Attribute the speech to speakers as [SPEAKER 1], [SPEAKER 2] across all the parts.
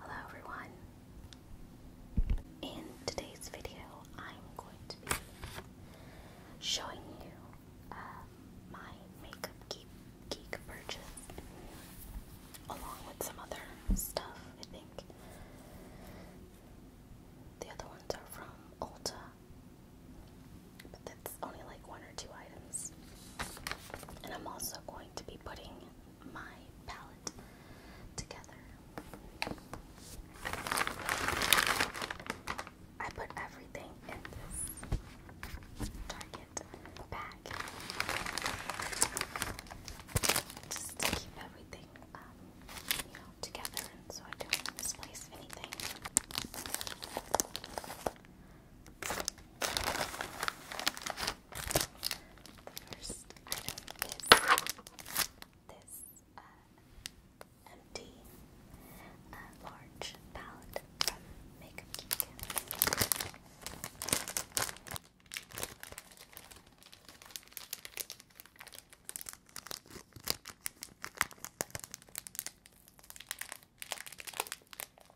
[SPEAKER 1] Hello everyone. In today's video, I'm going to be showing you um, my makeup geek purchase, along with some other stuff. I think the other ones are from Ulta but that's only like one or two items. And I'm also going to be putting my palette together. I put everything in this Target bag just to keep everything, um, you know, together, so I don't misplace anything. The first item is this uh, empty uh, large palette from Makeup Geek.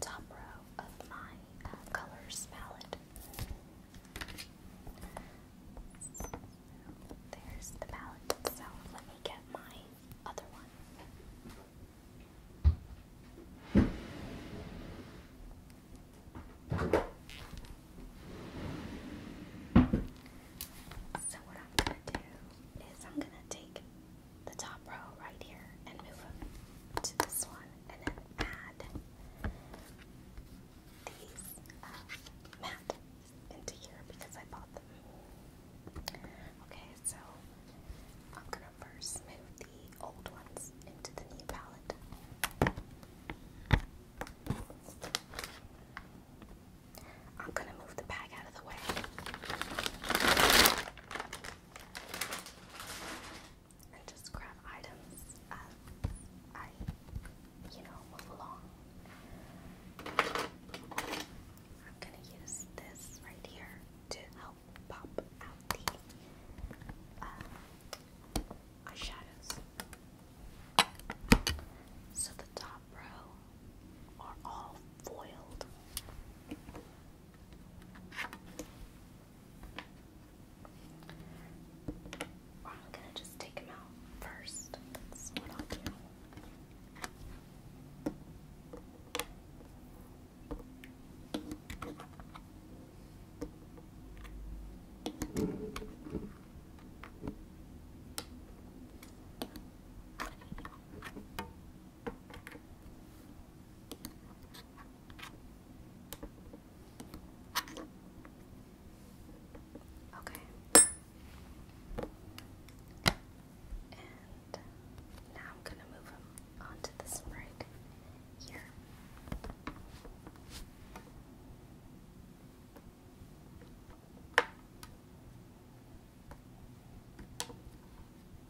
[SPEAKER 1] top row of my uh, colors palette. there's the palette itself. Let me get my other one. So what I'm gonna do is I'm gonna take the top row right here and move them to this one and then add these uh, into here because I bought them. Okay, so I'm gonna first move the old ones into the new palette. I'm gonna move the bag out of the way and just grab items as I, you know, move along. I'm gonna use this right here to help pop out the uh, eyeshadows. So the top row are all foiled. I'm gonna just take them out first. what i Okay. And now I'm going to move him onto this right here.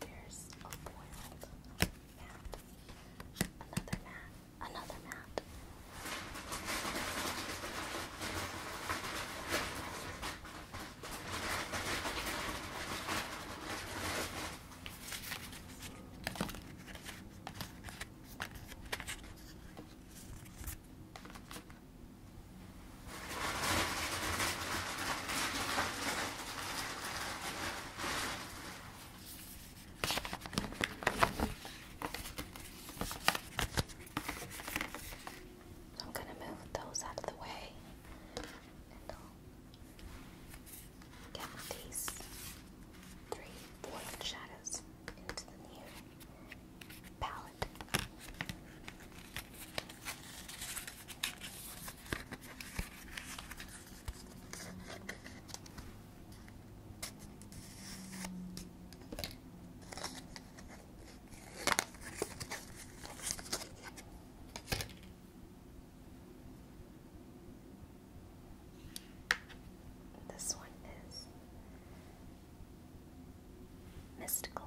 [SPEAKER 1] There's a boiled mat, another mat, another mat. So I'm going to move those out of the way get these three boiled shadows into the new palette. This one is mystical.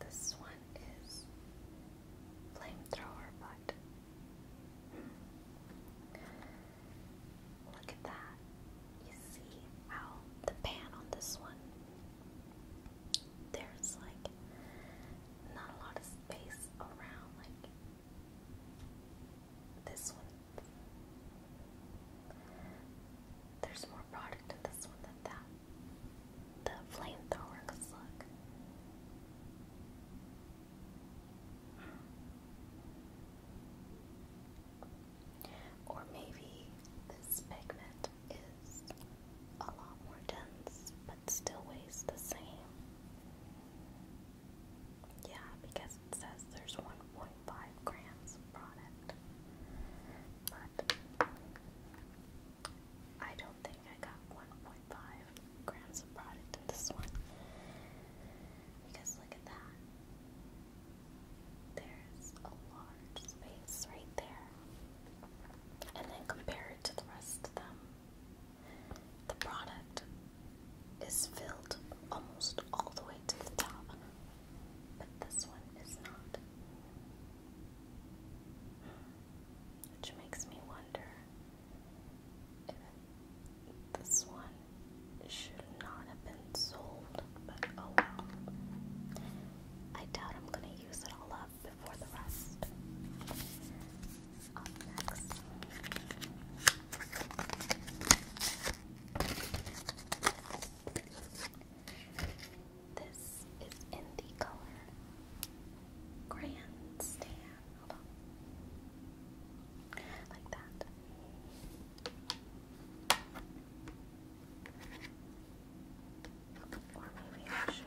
[SPEAKER 1] This one is flamethrower, but look at that. You see how the pan on this one? There's like not a lot of space around, like this one. There's more product in this one that. The flamethrower, cause look. Or maybe this pigment is a lot more dense but still weighs the same. Yeah, because it says there's 1.5 grams product I don't think I got 1.5 grams of product in this one. Because look at that. There's a large space right there. And then compare it to the rest of them. The product is filled almost all the way to the top, but this one is not. Hmm. Which makes me wonder if this one should not have been sold, but oh well. I doubt I'm going to use it all up before the rest. Up next. This is in the color Grandstand. Like that. Or maybe I should.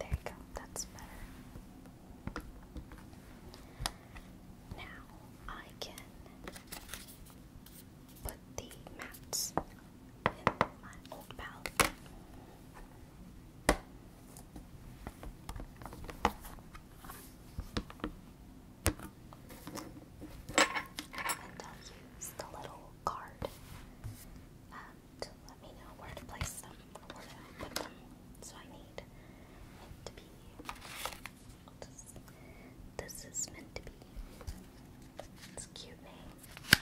[SPEAKER 1] There you go, that's better. Now I can put the mats in my old palette. And I'll use the little card uh, and let me know where to place them, or where to put them. So I need it to be. This, is meant to be. It's cute name.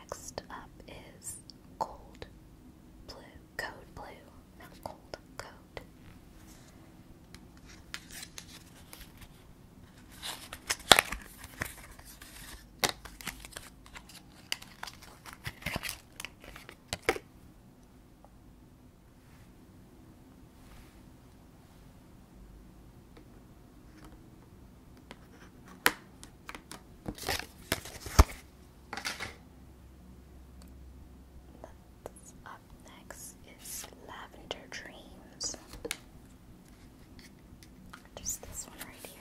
[SPEAKER 1] Next up is cold blue, code blue, not cold, code. That's next is Lavender Dreams. Just this one right here.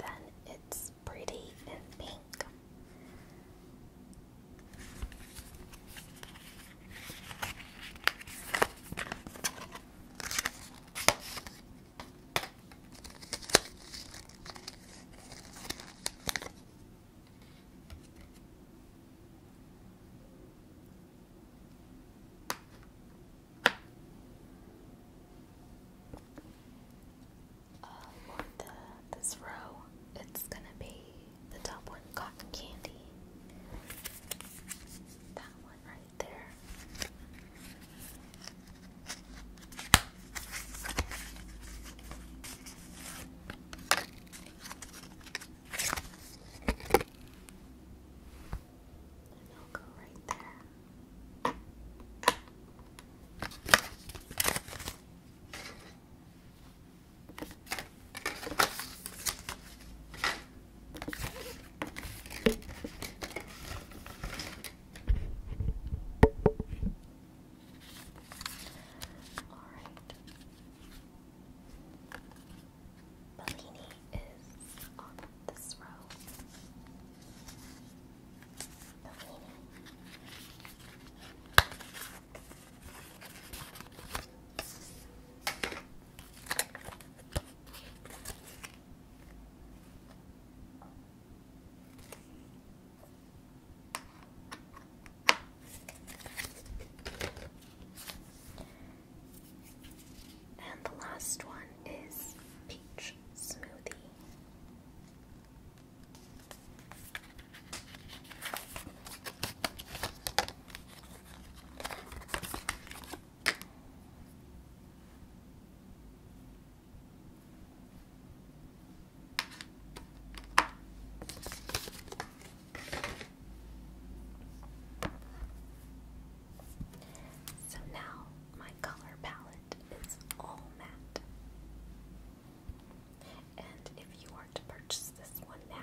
[SPEAKER 1] Then it's pretty and pink. Uh, for this row, it's gonna be the top one, cotton candy. That one right there. And I'll go right there. Alright. Bellini is on this row. And the last one is peach smoothie. So now my color palette is all matte. And if you were to purchase this one now,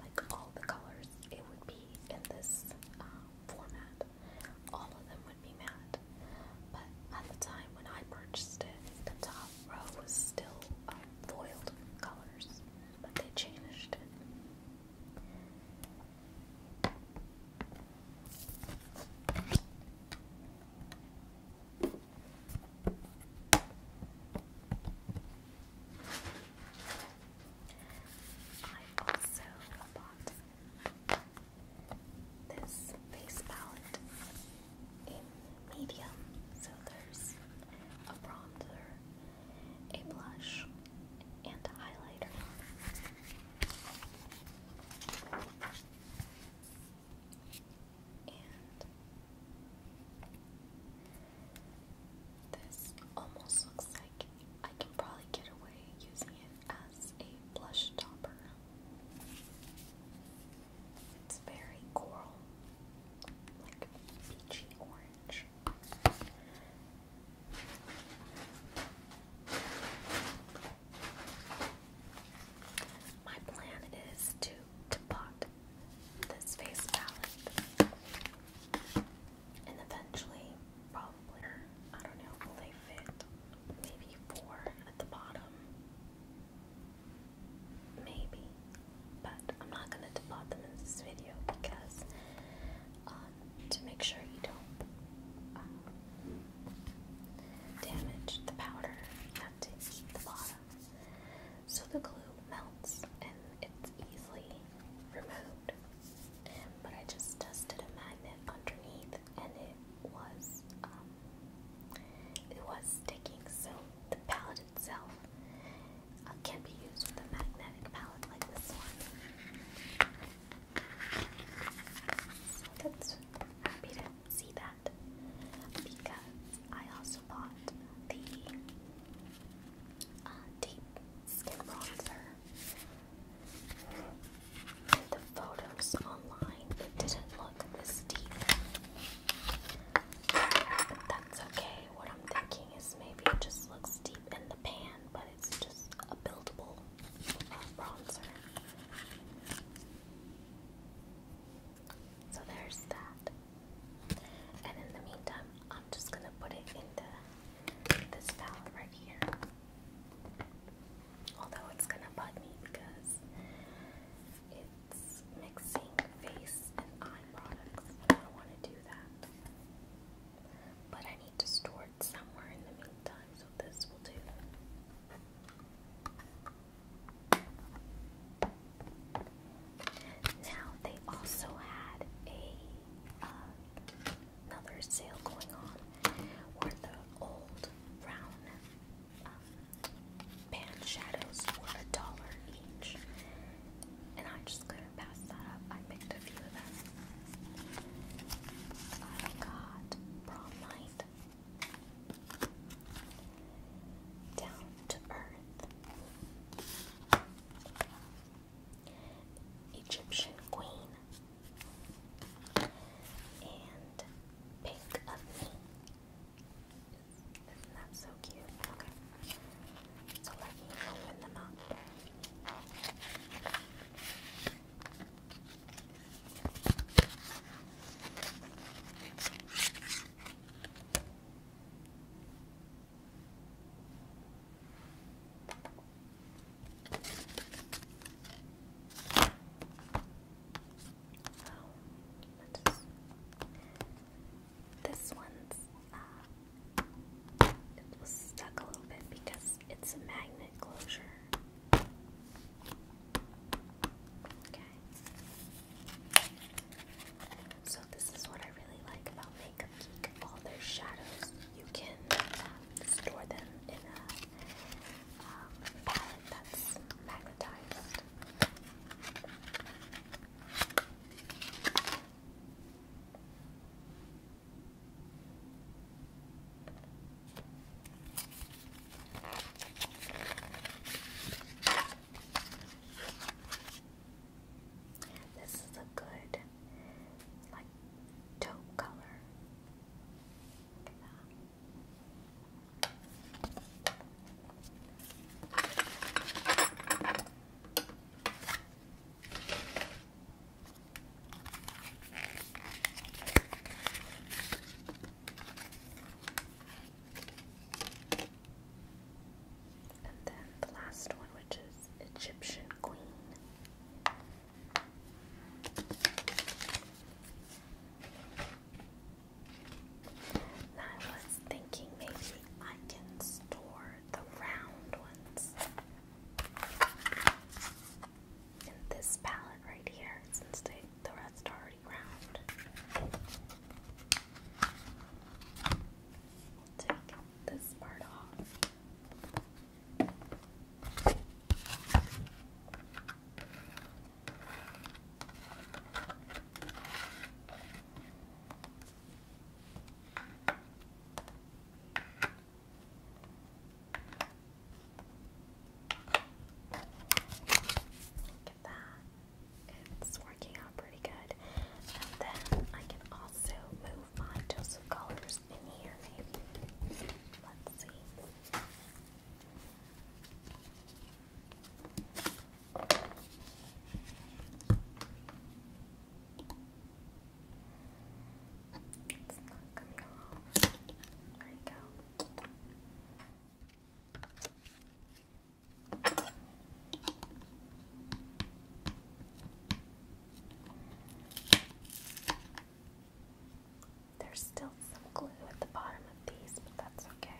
[SPEAKER 1] like all the colors, it would be in this uh, format. All of them would be mad. But at the time when I purchased it, the top row was still um, foiled colors, but they changed it. I also bought this face palette in medium. So there's a bronzer, a blush, and a highlighter. And this almost looks like I can probably get away using it as a blush topper. It's very coral, like peachy orange. My plan is to, to pot this face palette and eventually probably, I don't know, will they fit maybe four at the bottom Maybe. But I'm not gonna depot them in this video because um, to make sure you don't um, damage the powder, you have to heat the bottom. So the glue melts and it's easily removed. But I just tested a magnet underneath and it was um, it was sticking, so the palette itself uh, can be used with a magnetic palette like this one. So that's happy to see that because I also bought the uh, skin bronzer the photos online, it didn't look this deep. But that's okay. What I'm thinking is maybe it just looks deep in the pan, but it's just a buildable uh, bronzer. So there's that. And in the meantime, I'm just gonna put it in this palette right here. Although it's gonna bug me because it's mixing face and eye products. I don't want to do that. But I need to store it somewhere in the meantime, so this will do. Now they also had a uh, another sale going on where the old brown pan shadows were a dollar each, and I just couldn't pass that up. I picked a few of them. I got prom night, down to earth, Egyptian queen, and pink of me. Isn't that so cute? Okay. So let me open them up. So this one's uh, it was stuck a little bit because it's a magnet closure. Okay. So this is what I really like about Makeup Geek. All their shadows, you can um, store them in a um, palette that's magnetized. This is a good, like, taupe color. Look at that. And then the last one, which is Egyptian Queen. I was thinking maybe I can store the round ones in this palette right here since they, the rest are already round. We'll take this part off. Look at that. It's working out pretty good. And then I can also move my dose of colors in here, maybe. Let's see. It's not coming off. There you go. There's still some glue at the bottom of these, but that's okay.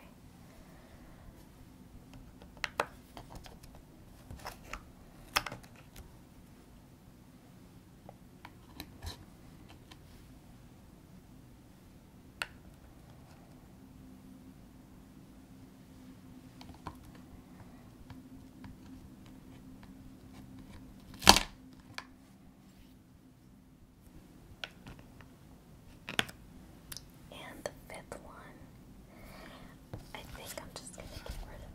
[SPEAKER 1] And the fifth one, I think I'm just going to get rid of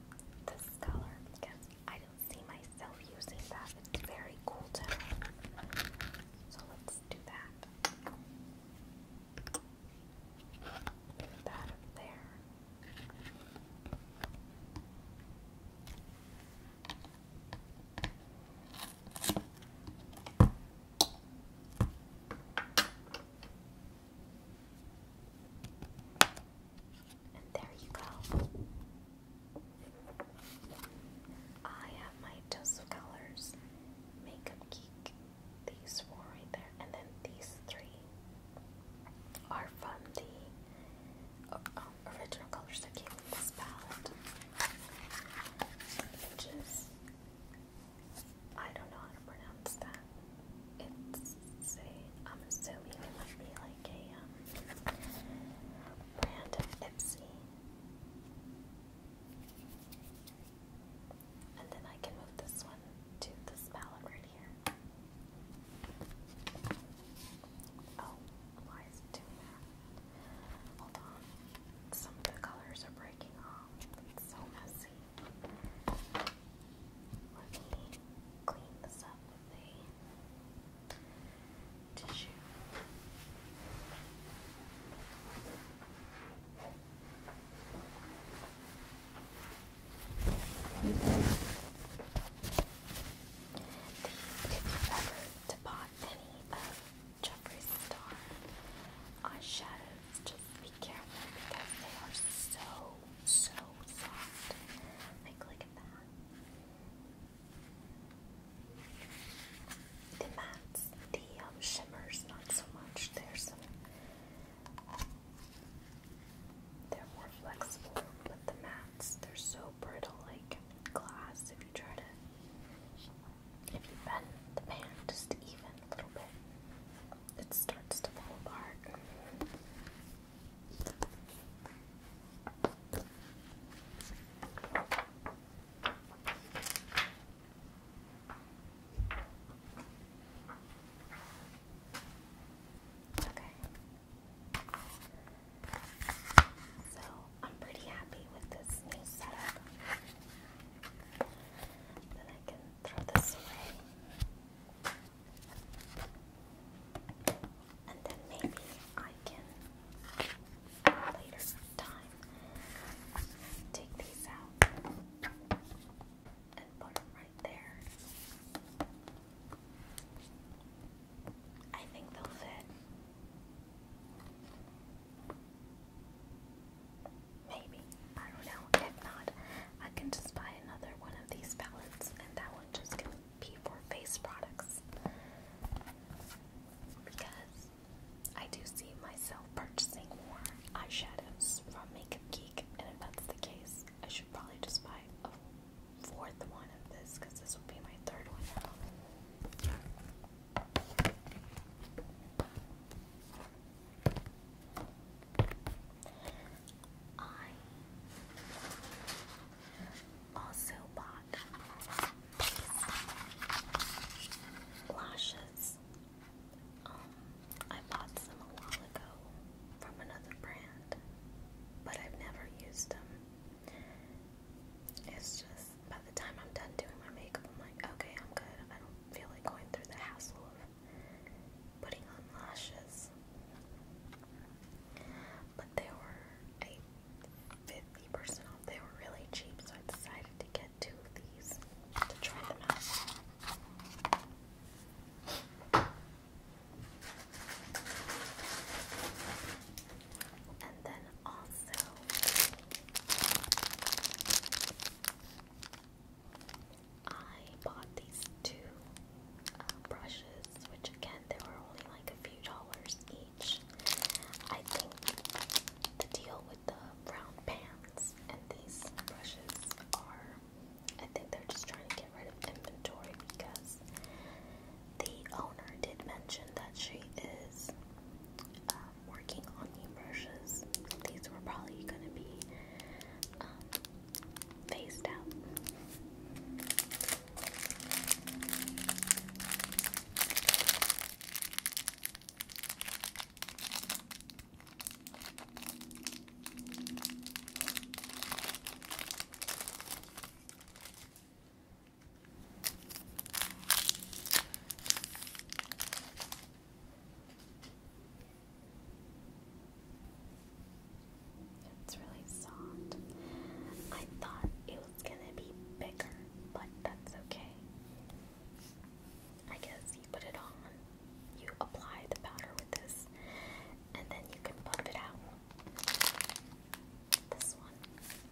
[SPEAKER 1] this color because I don't see myself using that. It's very cool tone. So let's do that. Move that up there. And there you go. I have my Dose of Colors Makeup Geek. These four right there. And then these three are from the uh, original colors that came in this palette. Which I don't know how to pronounce that. It's a, I'm assuming it might be like a um, brand of Ipsy. And then I can move this one to this palette right here. Oh, why is it doing that? Hold on. Some of the colors are breaking off. It's so messy. Let me clean this up with a tissue. if you've ever bought any of Jeffree Star eyeshadows. Just be careful because they are so, so soft. Like, look at that. The mattes, the um, shimmers, not so much. There's some. They're more flexible, but the mattes, they're so brittle, like glass. If you try to if you bend the pan just even a little bit, it starts to fall apart. Okay. So I'm pretty happy with this new setup. Then I can throw this away. And then maybe I can later time take these out and put them right there. I think they'll fit. Maybe. I don't know. If not, I can just buy another one of these palettes and that one just can be for face products. Because I do see myself purchasing more eyeshadows from Makeup Geek, and if that's the case, I should probably just buy a fourth one of this because this will be my third one now. I also bought lashes. Um, I bought some a while ago from another brand, but I've never used them. It's just by the time I'm done doing my makeup, I'm like, okay, I'm good. I don't feel like going through the hassle of putting on lashes. But they were 50% off. They were really cheap, so I decided to get two of these to try them out. And then also, I bought these two uh, brushes, which again, they were only like a few dollars each. I think the deal with the round pans and these brushes are, I think they're just trying to get rid of inventory because the owner did mention that she is uh, working on the brushes. These were probably going to be um, phased out. It's really soft. I thought it was gonna be bigger, but that's okay. I guess you put it on, you apply the powder with this, and then you can pump it out. This one.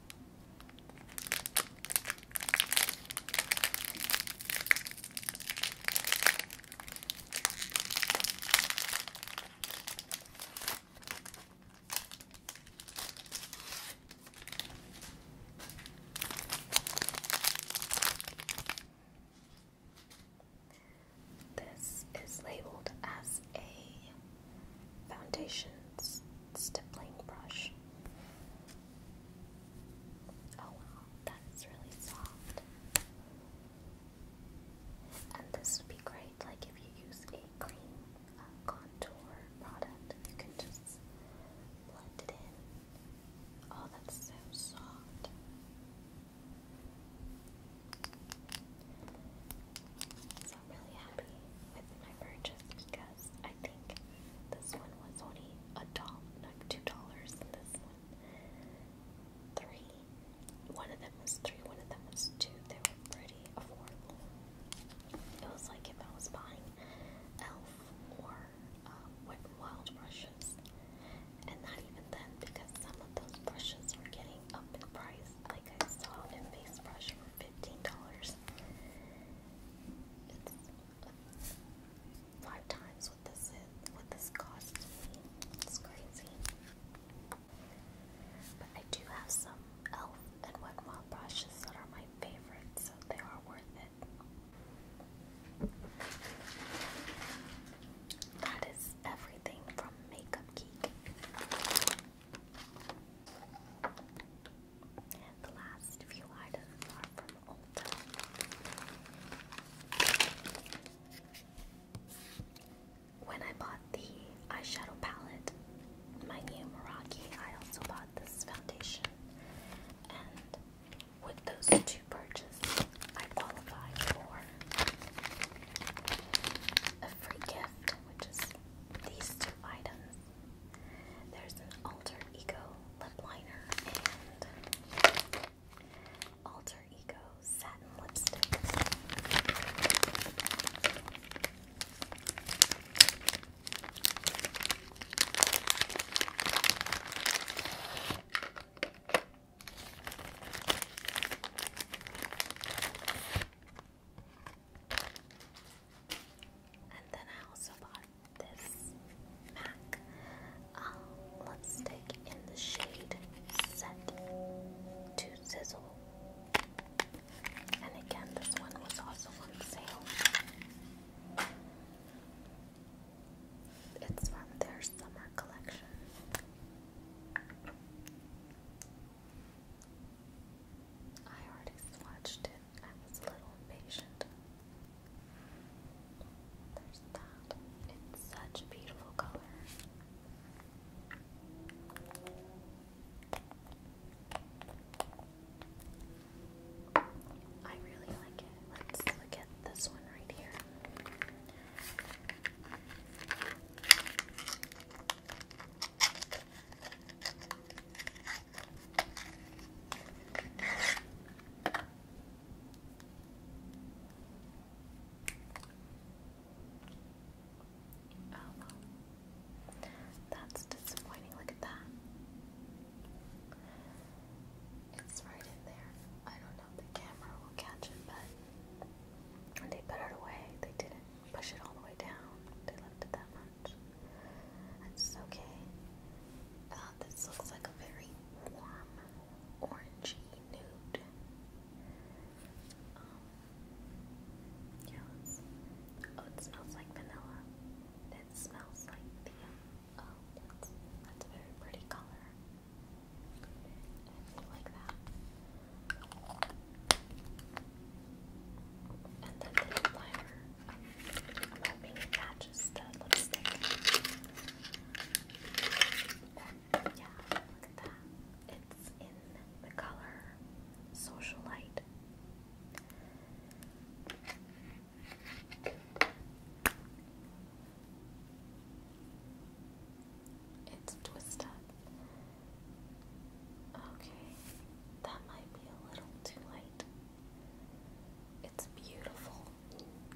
[SPEAKER 1] This is labeled as a foundations stippling brush. Oh wow, that's really soft. And this would be great, like if you use a cream uh, contour product, you can just blend it in. Oh, that's so soft. So I'm really happy with my purchase best. I think this one was only a dollar, like two dollars, and this one three. One of them was three, one of them was two. They were pretty affordable. It was like if I was buying Elf or um, Wet n Wild brushes, and not even then because some of those brushes were getting up in price. Like I saw an face brush for fifteen dollars. It's five times what this is, what this cost me. It's crazy. But I do have some Elf and Wet Wild brushes that are my favorite, so they are worth it. That is everything from Makeup Geek. The last few items are from Ulta. When I bought the eyeshadow palette, my new Meraki, I also bought this foundation. And with those two purchases, I qualify for a free gift, which is these two items. There's an Alter Ego lip liner and Alter Ego satin lipstick. And then I also bought this MAC lipstick um, in the shade to Sizzle. And again, this one was also on sale. It's from their summer collection. I already swatched it. I was a little impatient. There's that. It's such a beautiful color. I really like it. Let's look at this one right here. Oh, well. That's disappointing. Look at that. It's right in there. I don't know if the camera will catch it, but when they put it away, they didn't push it all the way down. They left it that much much. okay. Uh, this looks like a very warm, orangey nude. Um, oh, it smells like vanilla. It smells like the, oh, that's, a very pretty color. I like that. And then the liner I'm hoping it the lipstick. Yeah, look at that. It's in the color Socialite. It's a Okay, that might be a little too light. It's beautiful,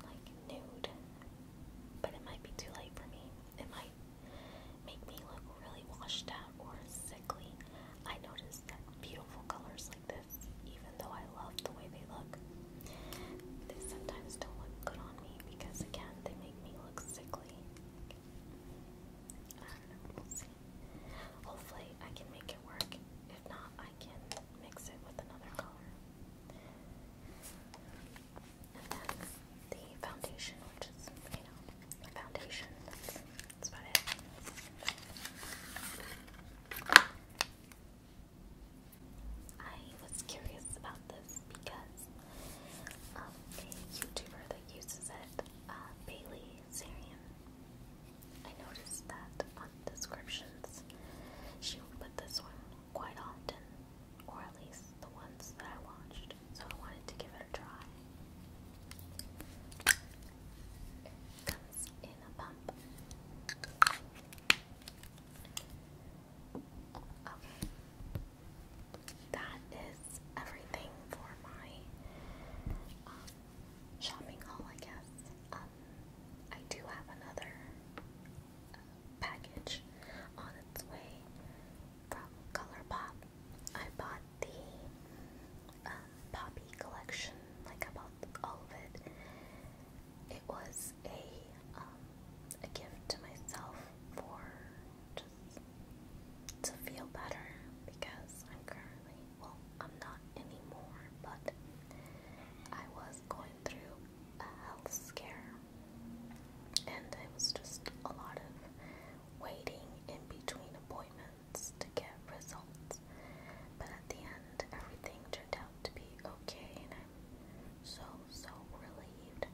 [SPEAKER 1] like nude, but it might be too late for me. It might make me look really washed out or sickly. I noticed that beautiful colors like this, even though I love the way they look, they sometimes don't look good on me because, again, they make me look sickly. I we'll see. Hopefully, I can make it work. If not, I can mix it with another color. And then the foundation, which is, you know, a foundation. That's, about it. I was curious about this because of um, a YouTuber that uses it, uh, Bailey Sarian. I noticed that on descriptions, she would put this one quite often, or at least the ones that I watched, so I wanted to give it a try. comes in a pump. Okay. That is everything for my um, shopping haul, I guess. I do have another uh, package on its way from ColourPop. I bought the uh, Poppy collection, like I bought all of it. It was a um, a gift to myself for just to feel better because I'm currently well, I'm not anymore, but I was going through a health scare, and it was just a lot of waiting in between appointments to get results. But at the end, everything turned out to be okay, and I'm so, so relieved.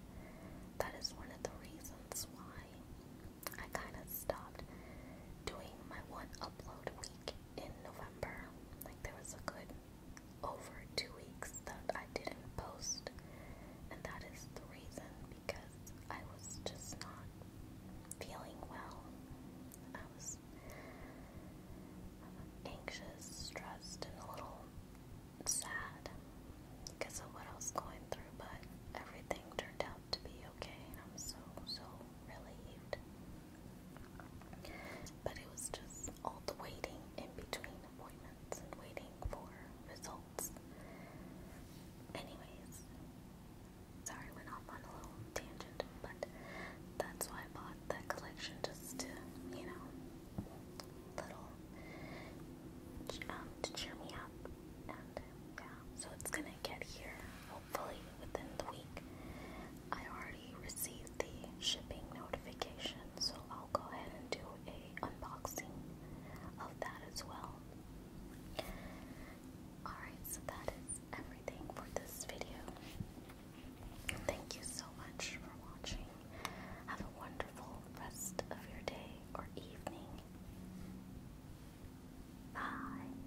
[SPEAKER 1] That is one of the reasons why I kind of stopped doing my one upload week in November. Like there was a good over two weeks that I didn't post, and that is the reason because I was just not feeling well. I was anxious, stressed, and a little sad because of what I was going through, but everything turned out to be okay, and I'm so, so relieved. But it was just all the waiting in between appointments waiting for results. Anyways, sorry, went off on a little tangent, but that's why I bought that collection just to, you know, little um, to cheer me up. And yeah, so it's gonna get here hopefully within the week. I already received the shipping notification, so I'll go ahead and do a unboxing of that as well. Alright, so that is everything for this video. Thank you so much for watching. Have a wonderful rest of your day or evening. Bye.